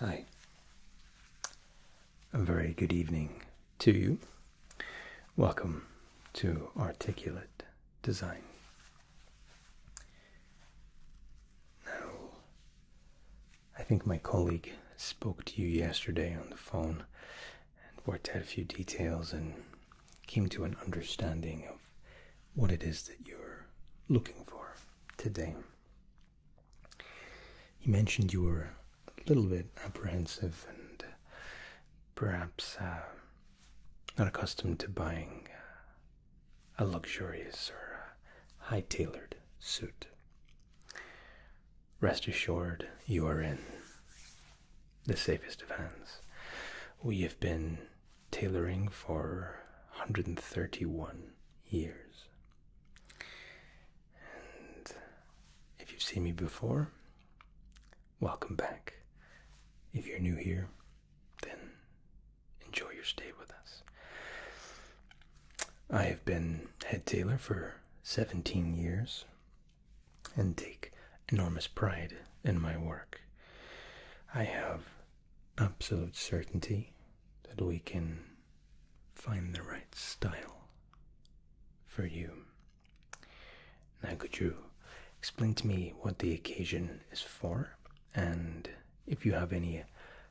Hi, a very good evening to you. Welcome to Articulate Design. Now, I think my colleague spoke to you yesterday on the phone and worked out a few details and came to an understanding of what it is that you're looking for today. You mentioned you were a little bit apprehensive and perhaps uh, not accustomed to buying uh, a luxurious or high tailored suit. Rest assured, you are in the safest of hands. We have been tailoring for 131 years. if you've seen me before, welcome back. If you're new here, then enjoy your stay with us. I have been head tailor for 17 years, and take enormous pride in my work. I have absolute certainty that we can find the right style for you. Now, could you explain to me what the occasion is for and if you have any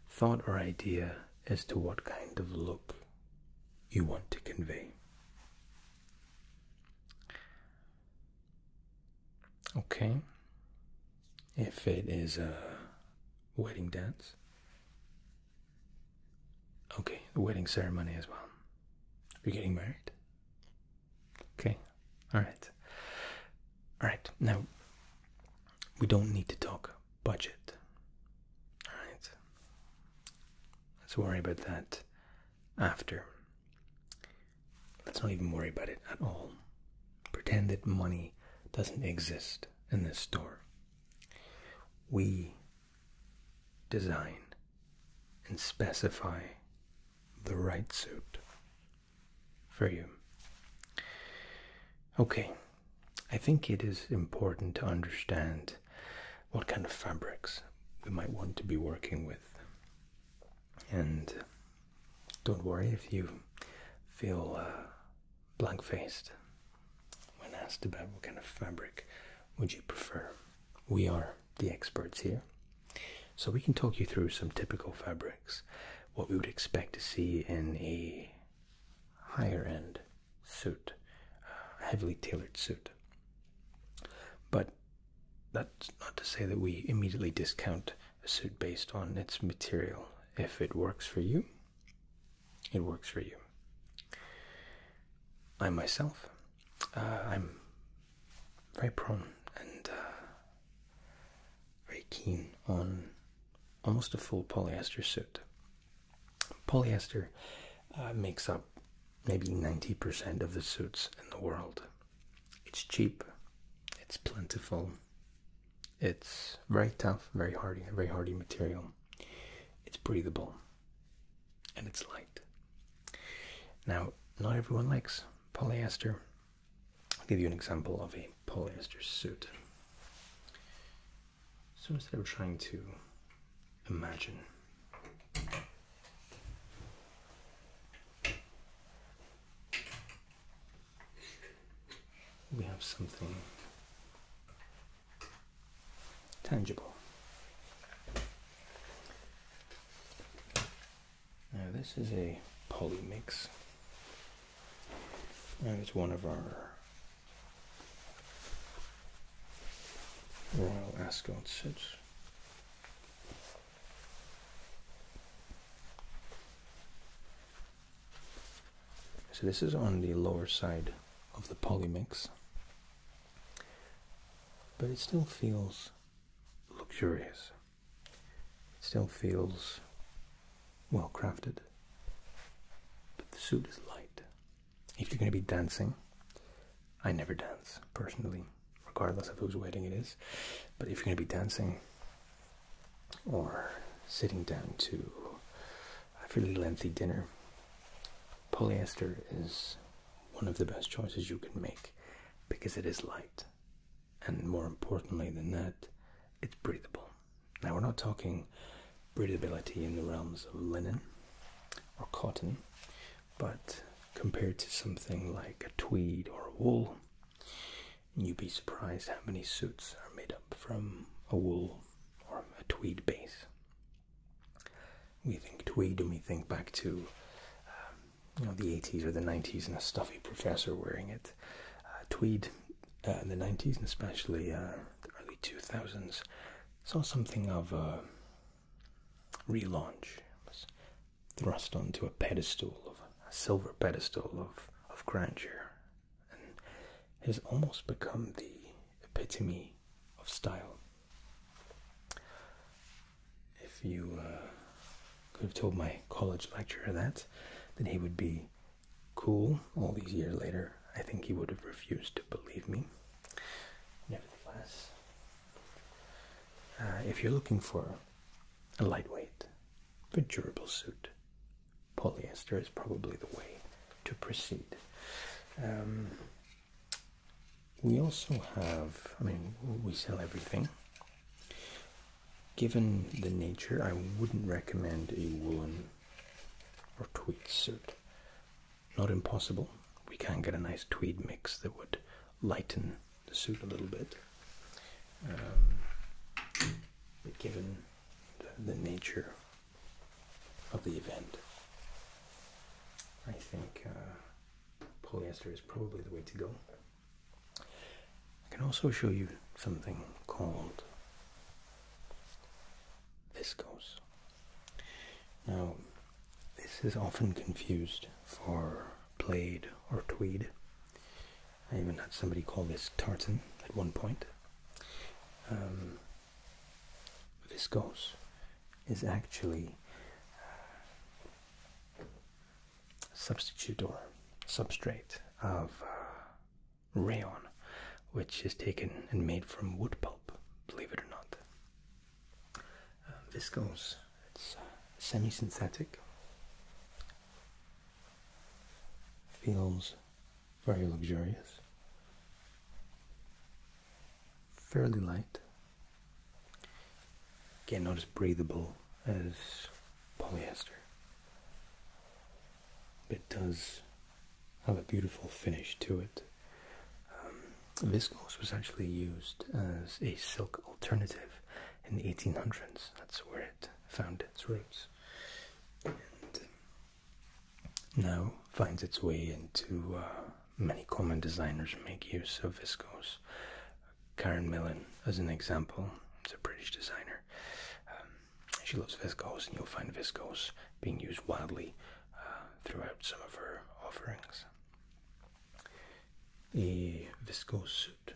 thought or idea as to what kind of look you want to convey? Okay. If it is a wedding dance. Okay, the wedding ceremony as well. You're getting married. Okay, all right. All right, now we don't need to talk budget. All right. Let's worry about that after. Let's not even worry about it at all. Pretend that money doesn't exist in this store. We design and specify the right suit for you. Okay, I think it is important to understand what kind of fabrics we might want to be working with. And don't worry if you feel uh, blank faced when asked about what kind of fabric would you prefer. We are the experts here. So we can talk you through some typical fabrics, what we would expect to see in a higher end suit, a heavily tailored suit. But that's not to say that we immediately discount a suit based on its material. If it works for you, it works for you. I myself, uh, I'm very prone and uh, very keen on almost a full polyester suit. Polyester uh, makes up maybe 90% of the suits in the world. It's cheap, it's plentiful, it's very tough, very hardy, very hardy material. It's breathable and it's light. Now, not everyone likes polyester. I'll give you an example of a polyester suit. So instead of trying to imagine we have something tangible. Now this is a polymix. mix. it's one of our Royal Ascot sets. So this is on the lower side of the poly mix, but it still feels luxurious. It still feels well crafted, but the suit is light. If you're going to be dancing, I never dance personally, regardless of whose wedding it is. But if you're going to be dancing or sitting down to a fairly lengthy dinner, polyester is one of the best choices you can make because it is light. And more importantly than that, it's breathable. Now, we're not talking breathability in the realms of linen or cotton but compared to something like a tweed or wool, you'd be surprised how many suits are made up from a wool or a tweed base. We think tweed and we think back to um, the 80s or the 90s and a stuffy professor wearing it. Uh, tweed uh, in the 90s and especially uh, the early 2000s saw something of a relaunch. was thrust onto a pedestal of a silver pedestal of, of grandeur and has almost become the epitome of style. If you uh, could have told my college lecturer that, then he would be cool all these years later. I think he would have refused to believe me. Nevertheless, uh, if you're looking for a lightweight but durable suit, polyester is probably the way to proceed. Um, we also have, I mean, we sell everything. Given the nature, I wouldn't recommend a woolen or tweed suit. Not impossible. We can get a nice tweed mix that would lighten suit a little bit. Um, given the, nature of the event, I think uh, polyester is probably the way to go. I can also show you something called viscose. Now, this is often confused for plaid, or tweed. I even had somebody call this tartan at one point. Um, viscose is actually uh, substitute or substrate of uh, rayon, which is taken and made from wood pulp, believe it or not. Um, uh, viscose. It's semi-synthetic. Feels very luxurious. Fairly light. Again, not as breathable as polyester, but it does have a beautiful finish to it. Um, Viscose was actually used as a silk alternative in the 1800s. That's where it found its roots. And um, now finds its way into uh, many common designers make use of viscose. Karen Millen, as an example, is a British designer. Um, she loves viscose, and you'll find viscose being used widely uh, throughout some of her offerings a viscose suit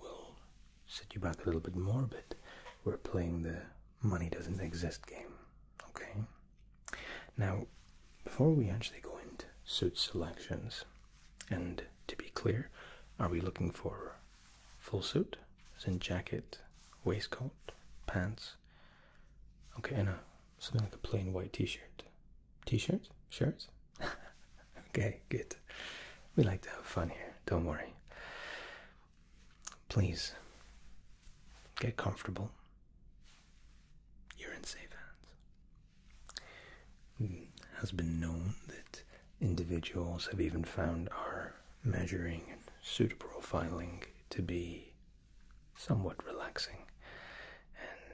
will set you back a little bit more, but we're playing the money doesn't exist game. Okay? Now, before we actually go into suit selections, and to be clear, are we looking for full suit? As jacket, waistcoat, pants? Okay, and a, something like a plain white t shirt. T shirt? Shirts? okay, good. We like to have fun here, don't worry. Please get comfortable. You're in safe hands. It hmm, has been known that individuals have even found our measuring and pseudoprofiling to be somewhat relaxing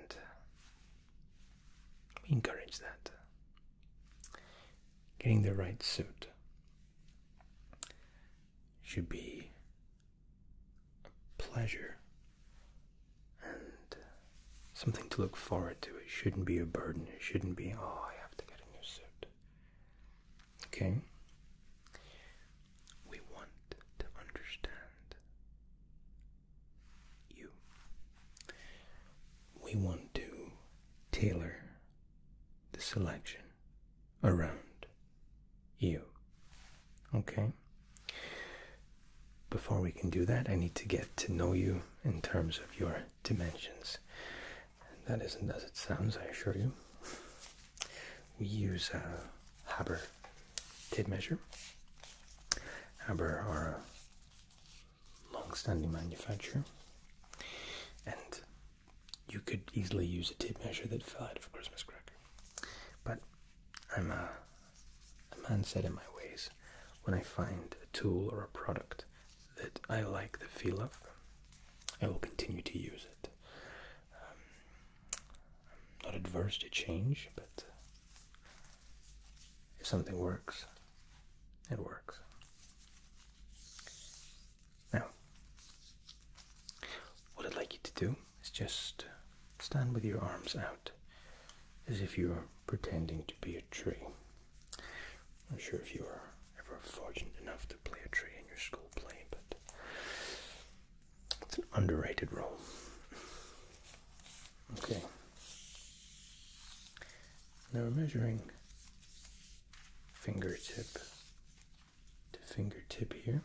and we encourage that. Getting the right suit should be a pleasure and something to look forward to. It shouldn't be a burden. It shouldn't be, oh, I have to get a new suit. Okay? We want to understand you. We want to tailor the selection around you. Okay? Before we can do that, I need to get to know you in terms of your dimensions. that isn't as it sounds, I assure you. We use a uh, Haber Tape measure. Aber are a long-standing manufacturer, and you could easily use a tape measure that fell out of a Christmas cracker. But I'm a, man set in my ways. When I find a tool or a product that I like the feel of, I will continue to use it. Um, not adverse to change, but if something works, it works. Now, what I'd like you to do is just stand with your arms out as if you were pretending to be a tree. I'm sure if you were ever fortunate enough to play a tree in your school play, but it's an underrated role. Okay. Now we're measuring fingertip to fingertip here.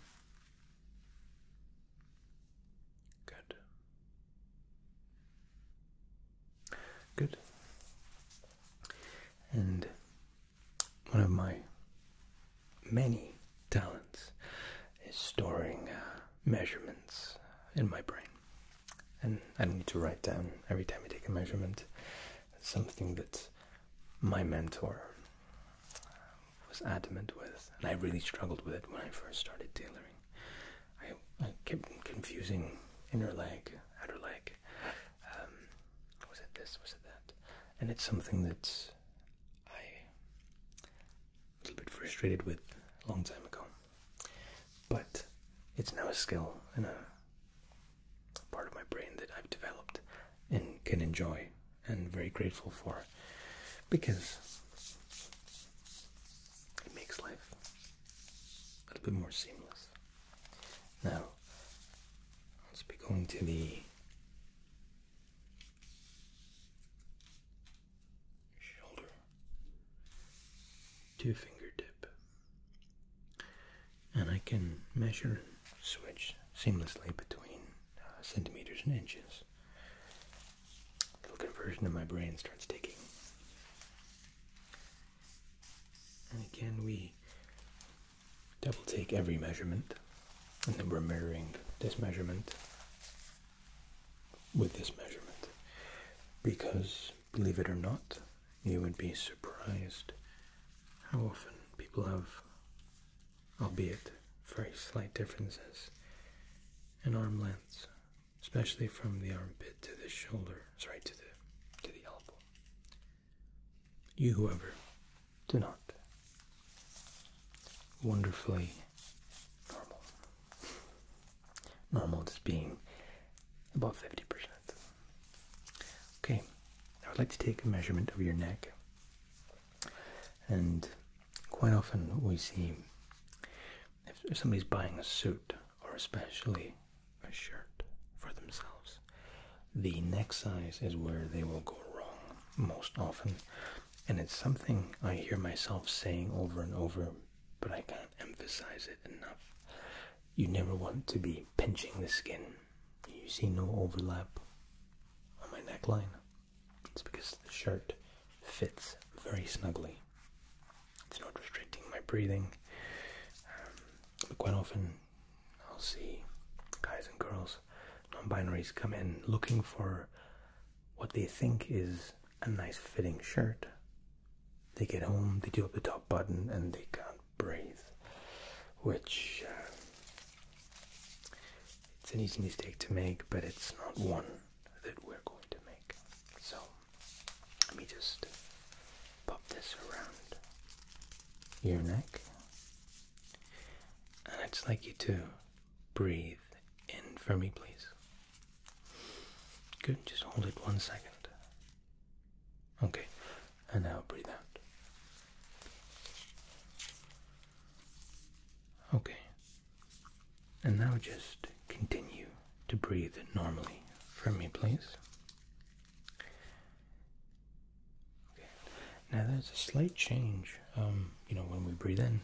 Good. Good. And one of my many talents is storing uh, measurements in my brain. And I don't need to write down every time I take a measurement. something that my mentor was adamant with, and I really struggled with it when I first started tailoring. I, kept confusing inner leg, outer leg. Um, was it this? Was it that? And it's something that I a little bit frustrated with a long time ago. But it's now a skill and a part of my brain that I've developed and can enjoy and very grateful for because it makes life a little bit more seamless. Now, let's be going to the shoulder to fingertip. And I can measure switch seamlessly between uh, centimeters and inches. little conversion in my brain starts ticking. And again, we double take every measurement, and then we're mirroring this measurement with this measurement because, believe it or not, you would be surprised how often people have, albeit very slight differences, in arm lengths, especially from the armpit to the shoulder, sorry, to the, to the elbow. You, whoever, do not. Wonderfully normal normal just being about 50%. Okay, I would like to take a measurement of your neck. And quite often we see if somebody's buying a suit or especially a shirt for themselves, the neck size is where they will go wrong most often. And it's something I hear myself saying over and over, but I can't emphasize it enough. You never want to be pinching the skin. You see no overlap on my neckline. It's because the shirt fits very snugly. It's not restricting my breathing. Um, quite often, I'll see guys and girls, non binaries, come in looking for what they think is a nice fitting shirt. They get home, they do up the top button, and they can't breathe. Which uh, it's an easy mistake to make, but it's not one that we're going to make. So let me just pop this around your neck, and I'd like you to breathe in for me, please? Good, just hold it one second. Okay, and now breathe out. Okay, and now just continue to breathe normally for me, please. Okay. Now there's a slight change. Um, you know, when we breathe in,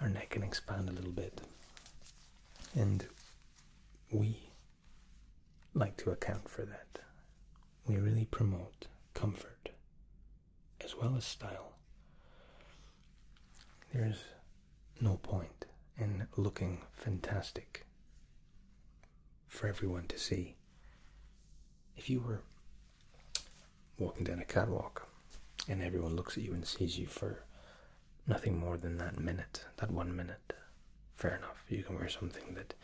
our neck can expand a little bit. And we like to account for that. We really promote comfort as well as style. There's no point in looking fantastic for everyone to see. If you were walking down a catwalk and everyone looks at you and sees you for nothing more than that minute, that one minute. Fair enough. You can wear something that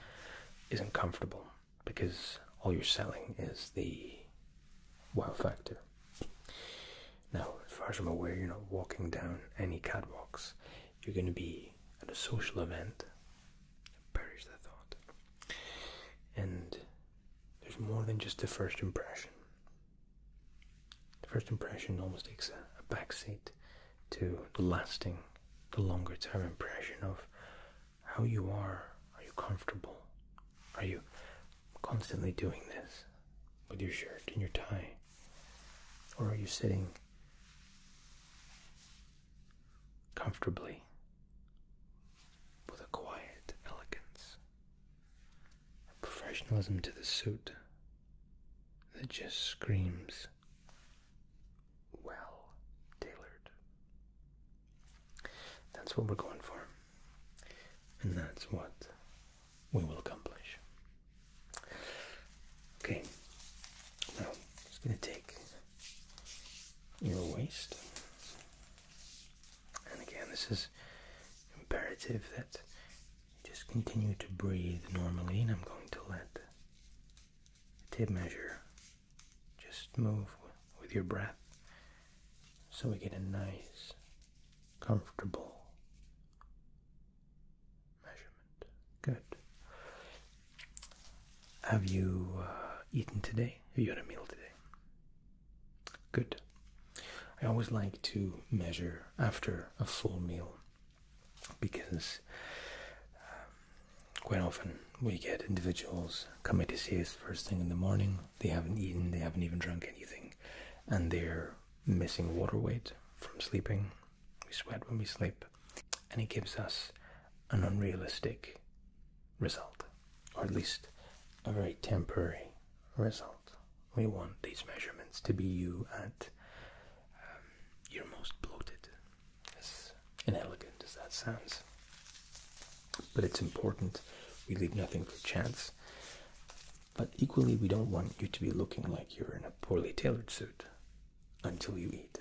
isn't comfortable because all you're selling is the wow factor. Now, as far as I'm aware, you're not walking down any catwalks. You're going to be at a social event. Perish that thought. And there's more than just the first impression. The first impression almost takes a, a backseat to the lasting, the longer term impression of how you are. Are you comfortable? Are you constantly doing this with your shirt and your tie? Or are you sitting comfortably with a quiet elegance? professionalism to the suit that just screams well tailored. That's what we're going for, and that's what we will accomplish. Okay, now just going to take your waist, and again, this is imperative that you just continue to breathe normally, and I'm going to let the tape measure just move with your breath so we get a nice, comfortable measurement. Good. Have you uh, eaten today? Have you had a meal today? Good. I always like to measure after a full meal because um, quite often we get individuals come to see us first thing in the morning, they haven't eaten, they haven't even drunk anything, and they're missing water weight from sleeping. We sweat when we sleep, and it gives us an unrealistic result, or at least a very temporary result. We want these measurements to be you at um, your most bloated, as inelegant as that sounds. But it's important we leave nothing for chance. But equally, we don't want you to be looking like you're in a poorly tailored suit until you eat.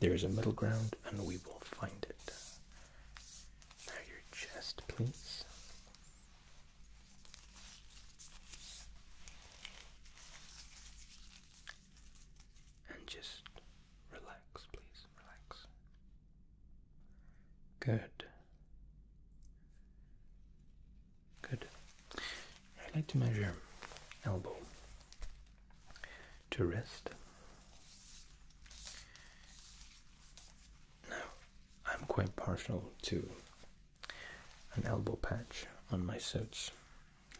There is a middle ground, and we will find it. Now, your chest, please. And just relax, please, relax. Good. Good. I like to measure elbow to wrist now, I'm quite partial to an elbow patch on my suits.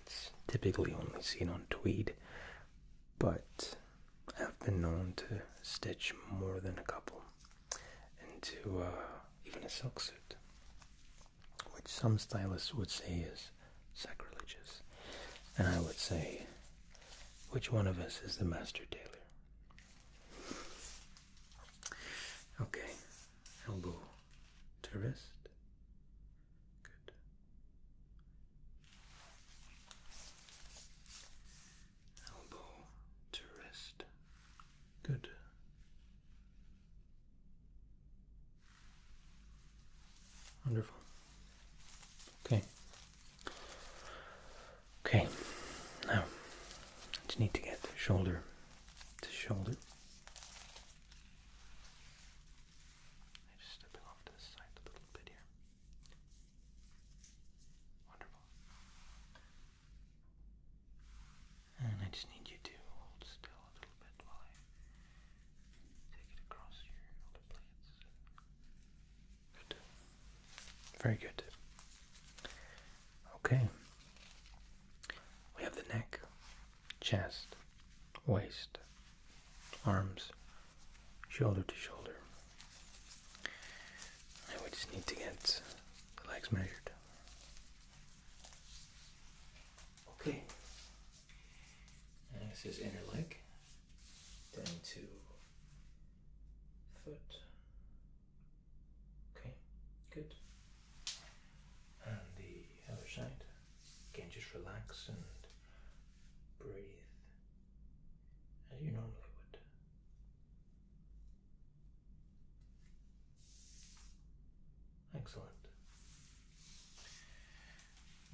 It's typically only seen on tweed, but I've been known to stitch more than a couple into uh, even a silk suit, which some stylists would say is sacrilegious. And I would say, which one of us is the master tailor? Okay, elbow to wrist. Good. Elbow to wrist. Good. Wonderful. Okay. Okay, now I just need to get shoulder to shoulder. I'm just stepping off to the side a little bit here. Wonderful. And I just need you to hold still a little bit while I take it across your other plates. Good. Very good. Okay. We have the neck, chest, waist, arms, shoulder to shoulder. And we just need to get the legs measured. Okay. And this is inner leg, Then two. foot, Okay, good. And the other side. Again, just relax and breathe as you normally would. Excellent.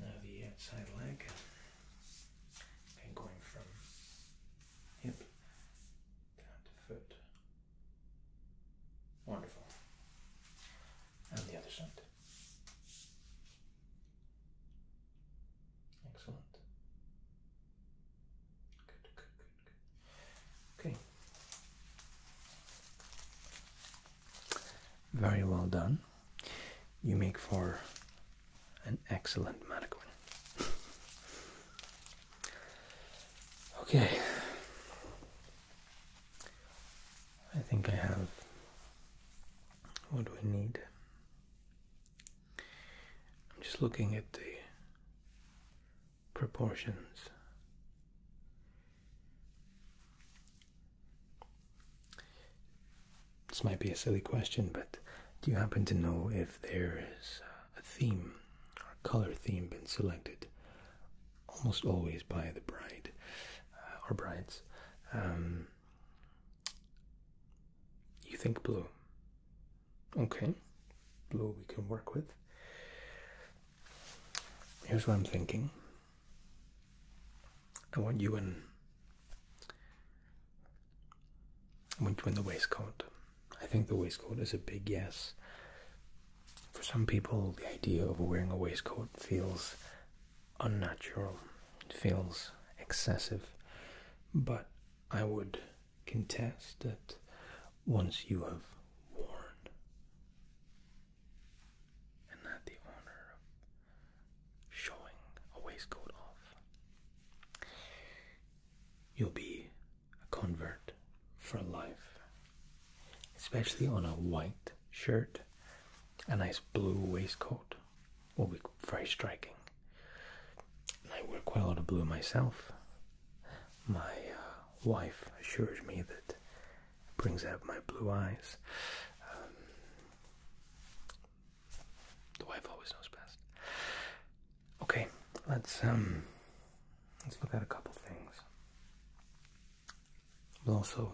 Now the outside leg. Okay, going from hip down foot. Wonderful. And the other side. Excellent. Good, good, good, good. Okay. Very well done. You make for an excellent mannequin. Okay. I think I have what do we need. I'm just looking at the proportions. This might be a silly question, but do you happen to know if there is a theme our color theme been selected almost always by the bride uh, or brides. Um, you think blue. Okay, blue we can work with. Here's what I'm thinking. I want you and Went with the waistcoat. I think the waistcoat is a big yes. For some people, the idea of wearing a waistcoat feels unnatural, it feels excessive, but I would contest that once you have worn and had the honor of showing a waistcoat off, you'll be a convert for life, especially on a white shirt, a nice blue waistcoat will be very striking. I wear quite a lot of blue myself. My uh, wife assures me that brings out my blue eyes. Um, the wife always knows best. Okay, let's um let's look at a couple things. We'll also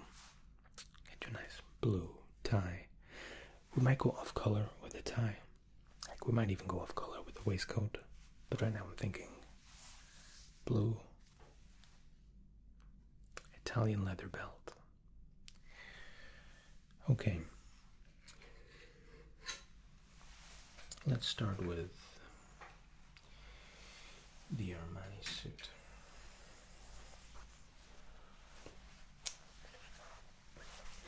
get you nice blue tie. We might go off color with a tie. Like we might even go off color with a waistcoat. But right now I'm thinking blue Italian leather belt. Okay. Let's start with the Armani suit.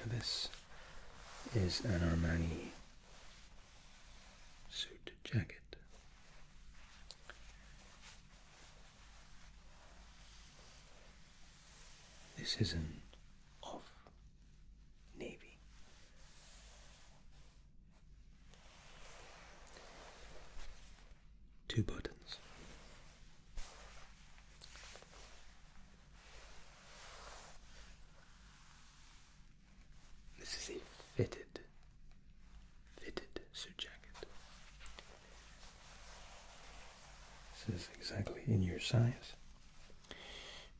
This is an Armani suit jacket. This is not of navy. Two buttons. This is a fitted, fitted suit jacket. This is exactly in your size.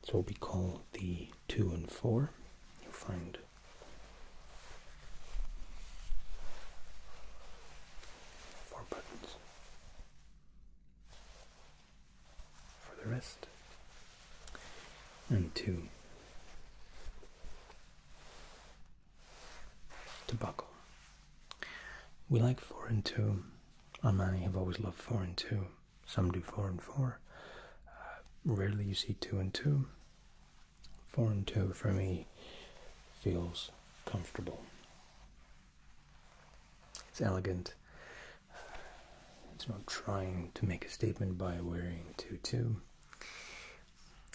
It's what we call the two and four. You'll find four buttons. For the rest, and two to buckle. We like four and two. many have always loved four and two. Some do four and four. Uh, rarely you see two and two. Four and two for me feels comfortable. It's elegant. It's not trying to make a statement by wearing two two.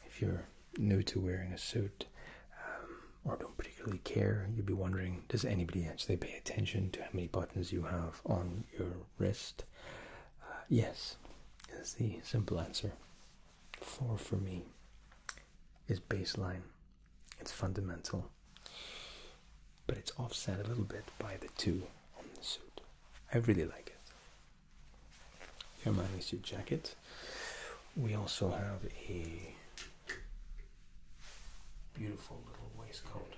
If you're new to wearing a suit um, or don't particularly care, you'd be wondering, does anybody actually pay attention to how many buttons you have? on your wrist? Uh, yes, is the simple answer. Four for me is baseline, it's fundamental, but it's offset a little bit by the two on the suit. I really like it. Your money suit jacket. We also have a Beautiful little waistcoat.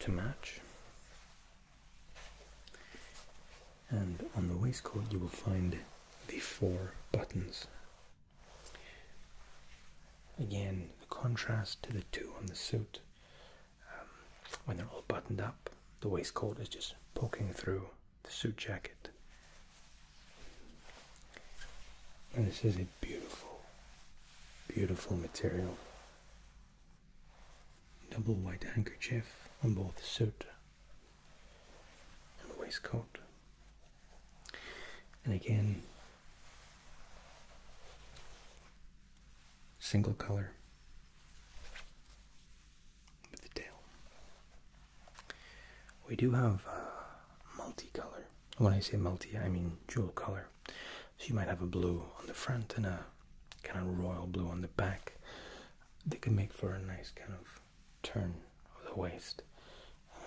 To match. And on the waistcoat, you will find the four buttons. Again, the contrast to the two on the suit. Um, when they're all buttoned up, the waistcoat is just poking through the suit jacket. And this is a beautiful, beautiful material. Double white handkerchief on both suit and waistcoat. And again, single color with the tail. We do have uh, multicolor. When I say multi, I mean jewel color. So you might have a blue on the front and a kind of royal blue on the back. They can make for a nice kind of turn of the waist. Um,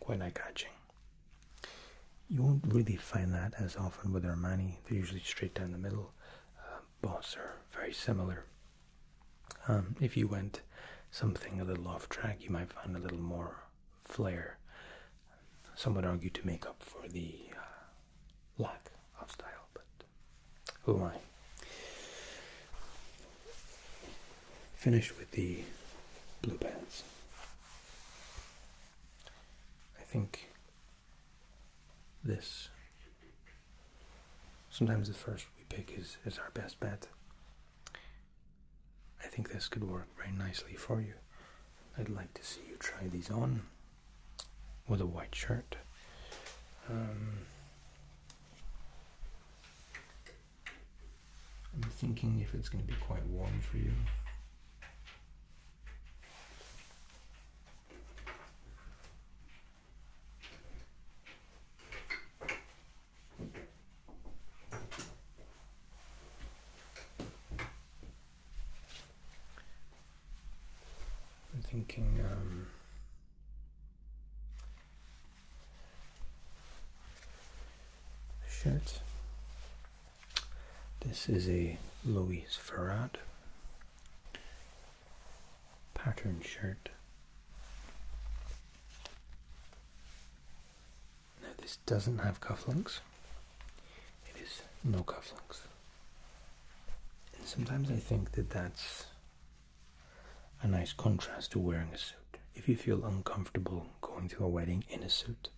quite eye-catching. You won't really find that as often with Armani. They're usually straight down the middle. Uh, Boss are very similar. Um, if you went something a little off track, you might find a little more flair. Some would argue to make up for the uh, lack of style, but who am I? Finished with the blue pants. I think this Sometimes the first we pick is, is our best bet. I think this could work very nicely for you. I'd like to see you try these on with a white shirt. Um, I'm thinking if it's going to be quite warm for you. I'm thinking um, shirt. This is a Louis Farad pattern shirt no, this doesn't have cufflinks. It is no cufflinks. sometimes I think that that's a nice contrast to wearing a suit. If you feel uncomfortable going to a wedding in a suit,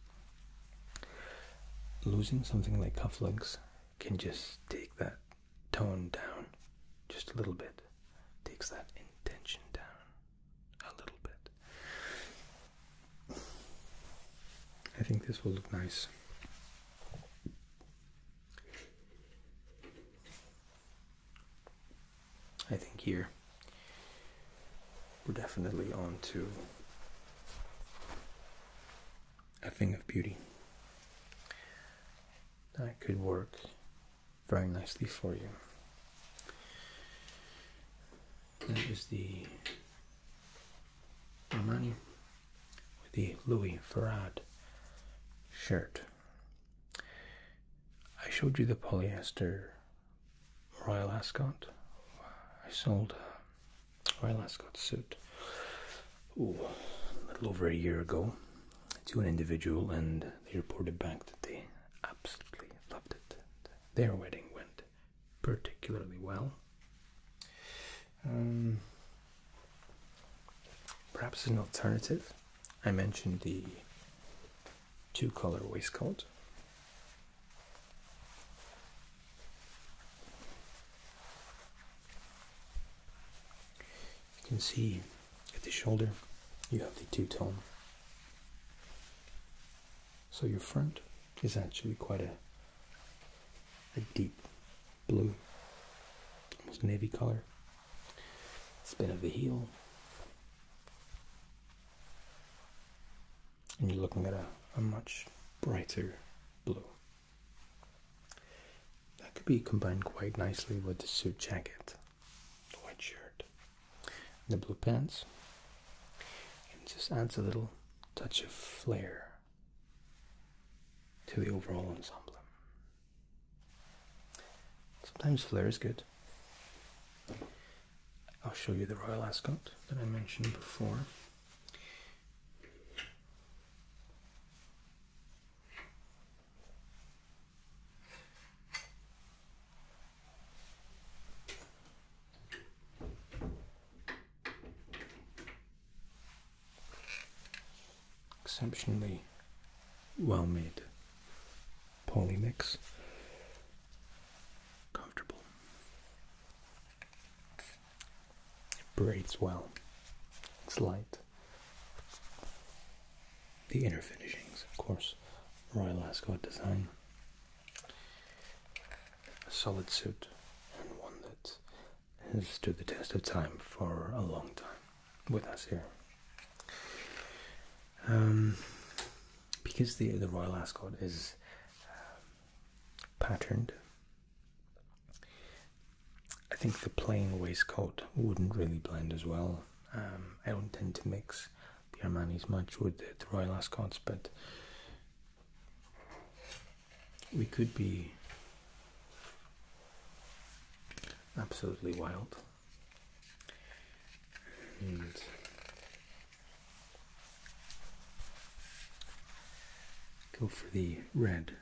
losing something like cufflinks can just take that tone down just a little bit takes that intention down a little bit. I think this will look nice. I think here we're definitely on to a thing of beauty. That could work very nicely for you. That is the Armani with the Louis Farad shirt. I showed you the polyester Royal Ascot. I sold Royal Ascot suit a little over a year ago to an individual, and they reported back that they absolutely loved it. Their wedding went particularly well. Um, perhaps as an alternative, I mentioned the two color waistcoat. You can see at the shoulder you have the two-tone. So your front is actually quite a a deep blue, almost navy color. Spin of the heel. And you're looking at a much brighter blue. That could be combined quite nicely with the suit jacket the white shirt, the blue pants, and it just adds a little touch of flair to the overall ensemble. Sometimes flair is good. I'll show you the Royal Ascot that I mentioned before. Exceptionally well made polymix. Comfortable. It breathes well. It's light the inner finishings, of course. Royal Ascot design. A solid suit and one that has stood the test of time for a long time with us here. Um, because the, the Royal Ascot is um, patterned, I think the plain waistcoat wouldn't really blend as well um, I don't tend to mix the Armani's much with the, the Royal Ascots, but we could be absolutely wild. And go for the red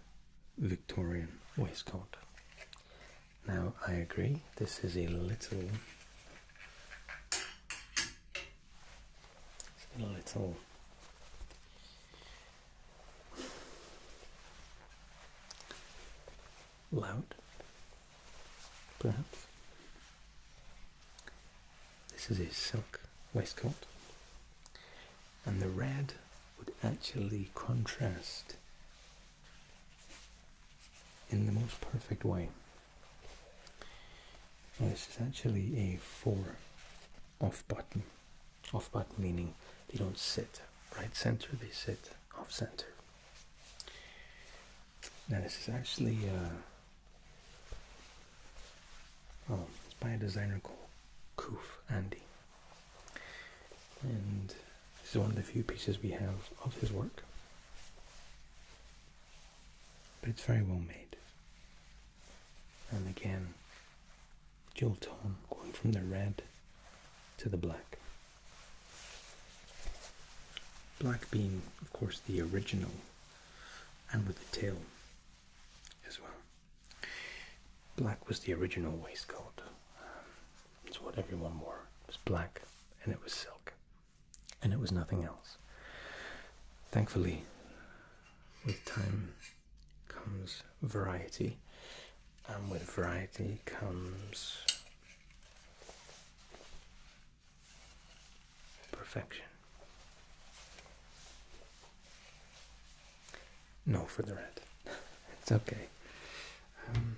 Victorian waistcoat. Now, I agree, this is a little. a little. Loud, perhaps. This is a silk waistcoat, and the red would actually contrast in the most perfect way. this is actually a four off button. Off button meaning they don't sit right center, they sit off center. Now this is actually uh, oh, it's by a designer called Koof Andy. And this is one of the few pieces we have of his work. But it's very well made. And again, dual tone going from the red to the black. Black being, of course, the original and with the tail as well. Black was the original waistcoat. Um, it's what everyone wore. It was black and it was silk. And it was nothing else. Thankfully, with time comes variety, and with variety comes perfection. No for the red. it's okay. Um,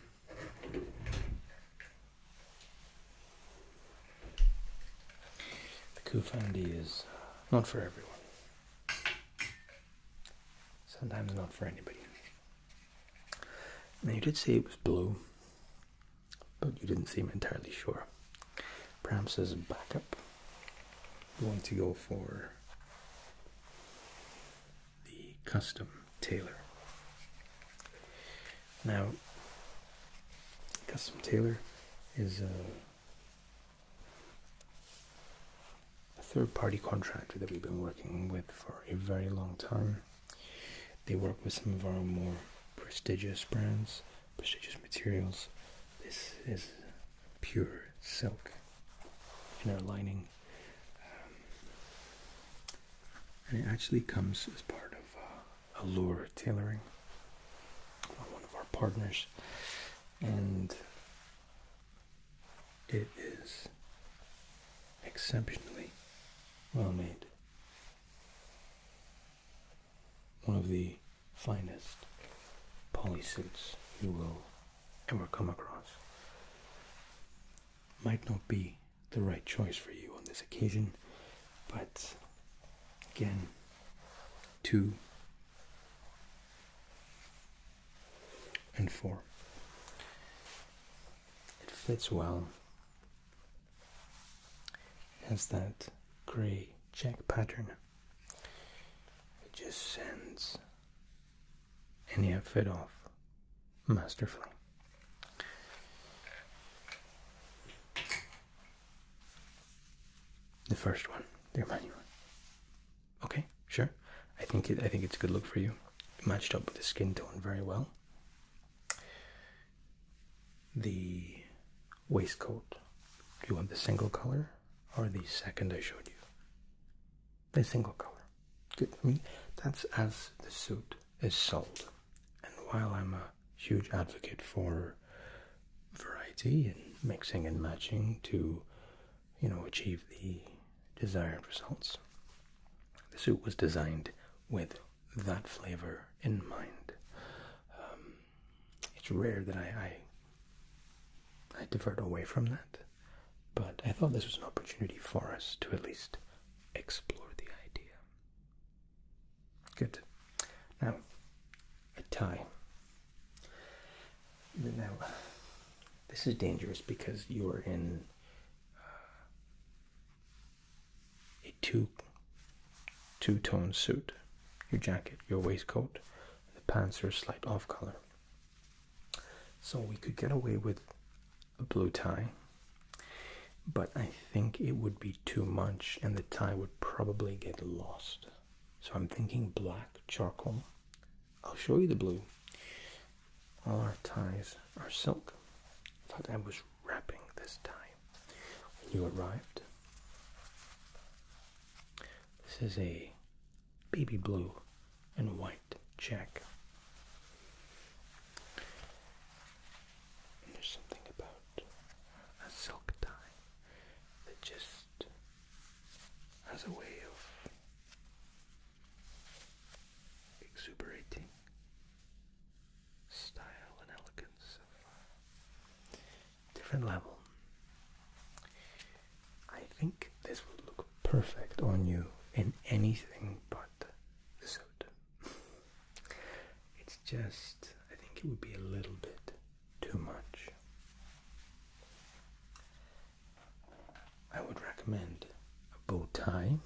the Kufandi is uh, not for everyone. Sometimes not for anybody. Now you did say it was blue, but you didn't seem entirely sure. Perhaps as backup, you want to go for the custom tailor. Now, custom tailor is a, third party contractor that we've been working with for a very long time. They work with some of our more prestigious brands, prestigious materials. This is pure silk in our lining um, and it actually comes as part of uh, Allure Tailoring, one of our partners. And it is exceptionally well made. One of the finest poly suits you will ever come across. Might not be the right choice for you on this occasion. But again, two and four. It fits well. has that grey check pattern. It just sends and he had fit off masterfully. The first one, the Romani Okay, sure. I think I think it's a good look for you. matched up with the skin tone very well. The waistcoat. Do you want the single color or the second I showed you? The single color. Good. I mean, that's as the suit is sold. And while I'm a huge advocate for variety and mixing and matching to, you know, achieve the desired results, the suit was designed with that flavor in mind. Um, it's rare that I, I I divert away from that, but I thought this was an opportunity for us to at least explore the idea. Good. Now, a tie. Now, this is dangerous because you are in uh, a two two tone suit. Your jacket, your waistcoat, the pants are slight off color. So we could get away with a blue tie but I think it would be too much and the tie would probably get lost. So I'm thinking black charcoal. I'll show you the blue. All our ties are silk. I thought I was wrapping this tie when you arrived. This is a baby blue and white check. there's something about a silk tie that just has a way of exuberating style and elegance uh, different level. I think this will look perfect on you in anything but the suit. It's just, I think it would be a little bit too much. I would recommend a bow tie,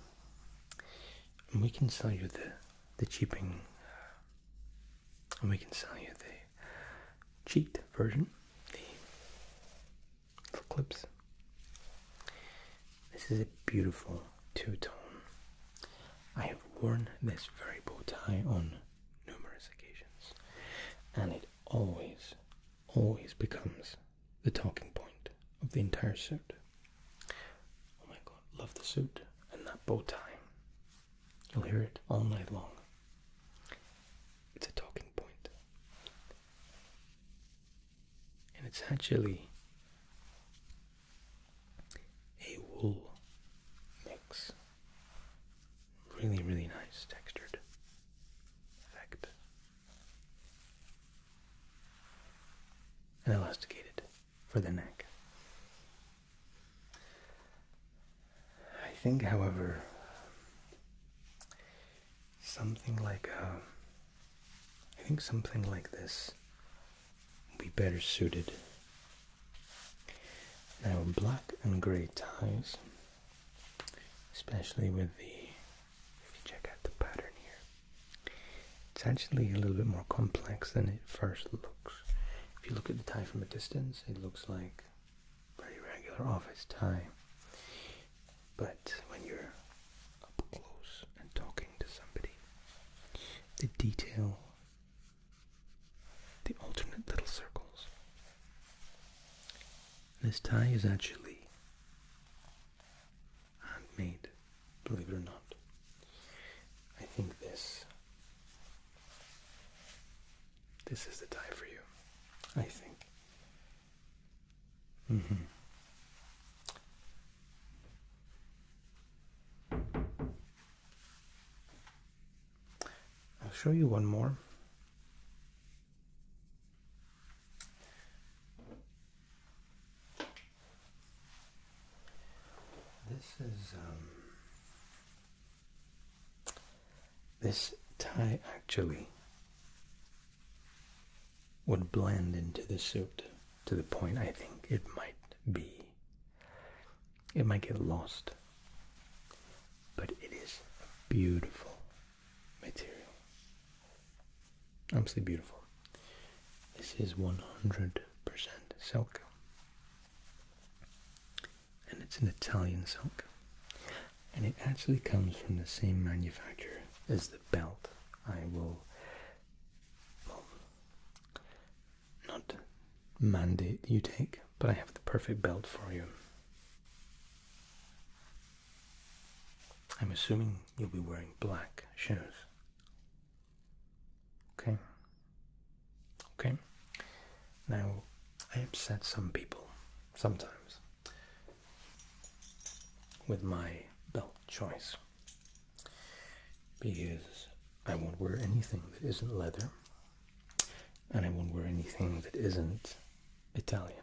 and we can sell you the the cheaping, and we can sell you the cheat version, the for clips. This is a beautiful two-tone. I have worn this very bow tie on numerous occasions, and it always, always becomes the talking point of the entire suit. Oh my god, love the suit and that bow tie. You'll hear it all night long. It's a talking point and it's actually a wool mix. Really, really nice textured effect. And elasticated for the neck. I think, however, something like uh, I think something like this would be better suited. Now black and grey ties, especially with the, if you check out the pattern here, it's actually a little bit more complex than it first looks. If you look at the tie from a distance, it looks like very regular office tie. But when you're up close and talking to somebody, the detail, the alternate little circles. This tie is actually handmade, believe it or not. I think this this is the tie for you. I think. Mm-hmm. I'll show you one more. This is um, this tie actually would blend into the suit to the point I think it might be. It might get lost. But it is beautiful material. Absolutely beautiful. This is 100% silk. And it's an Italian silk. And it actually comes from the same manufacturer as the belt I will not mandate you take, but I have the perfect belt for you. I'm assuming you'll be wearing black shoes. Okay. Okay. Now, I upset some people sometimes with my belt choice because I won't wear anything that isn't leather and I won't wear anything that isn't Italian.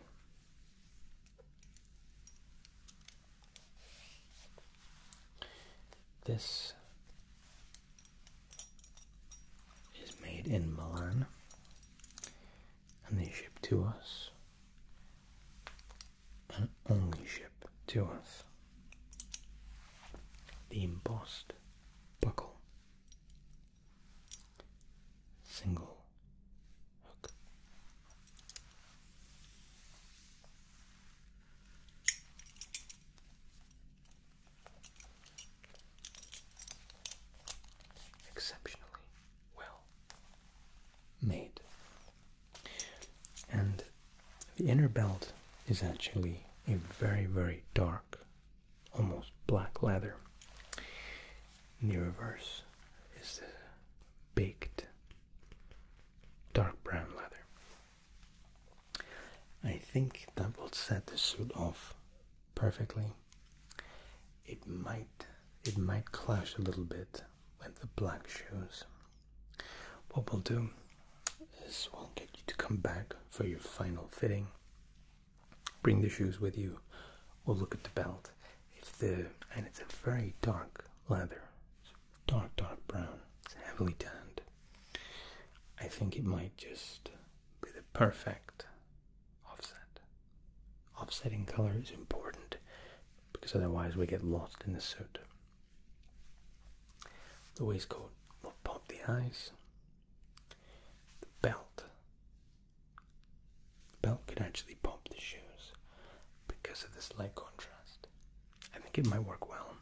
This is made in Milan and they ship to us an only ship to us. The embossed buckle, single hook. Exceptionally well made. And the inner belt is actually a very, very dark, almost black leather. In the reverse is the baked dark brown leather. I think that will set the suit off perfectly. It might it might clash a little bit with the black shoes. What we'll do is we'll get you to come back for your final fitting. Bring the shoes with you. We'll look at the belt. If the and it's a very dark leather, dark dark brown. It's heavily tanned. I think it might just be the perfect offset. Offsetting color is important because otherwise we get lost in the suit. The waistcoat will pop the eyes. The belt. The belt could actually pop the shoes because of the slight contrast. I think it might work well.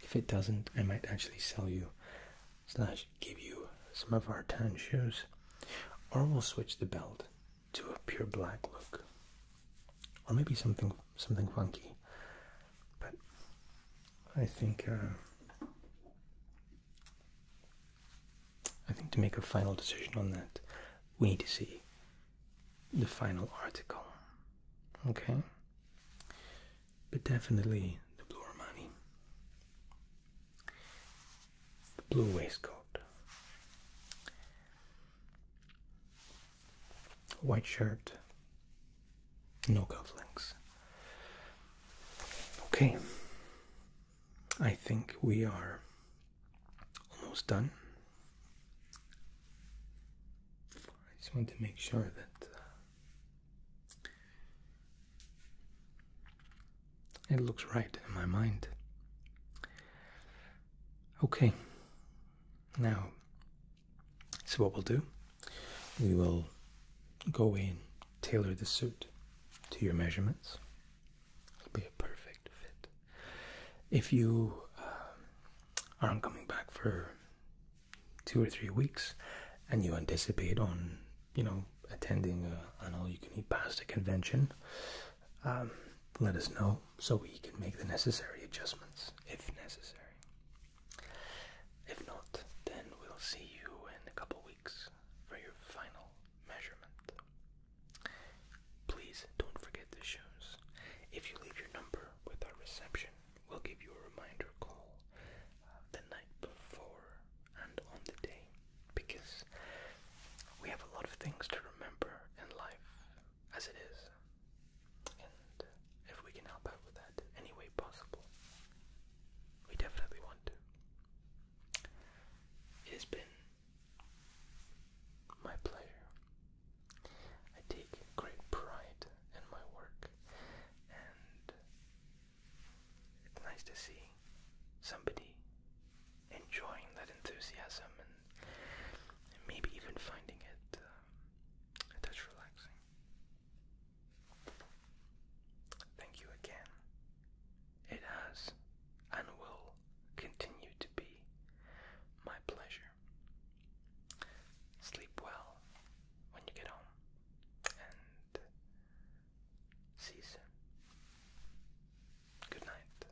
If it doesn't, I might actually sell you slash give you some of our tan shoes. Or we'll switch the belt to a pure black look, or maybe something something funky. But I think uh, I think to make a final decision on that, we need to see the final article. Okay, but definitely the blue Armani, the blue waistcoat. White shirt, no cufflinks. Okay, I think we are almost done. I just want to make sure that uh, it looks right in my mind. Okay. Now, so what we'll do, we will go in, tailor the suit to your measurements. It'll be a perfect fit. If you um, aren't coming back for two or three weeks, and you anticipate on, you know, attending a, uh, an all-you-can-eat pasta convention, um, let us know so we can make the necessary adjustments if necessary. If not, then we'll see you in a couple weeks for your final measurement. Please don't forget the shoes. If you leave your number with our reception, we'll give you a reminder call uh, the night before and on the day because we have a lot of things to remember in life as it is. And if we can help out with that any way possible, we definitely want to. It has been my pleasure. I take great pride in my work, and it's nice to see somebody enjoying that enthusiasm maybe even finding it a um, touch relaxing. Thank you again. It has and will continue to be my pleasure. Sleep well when you get home and see you Good night.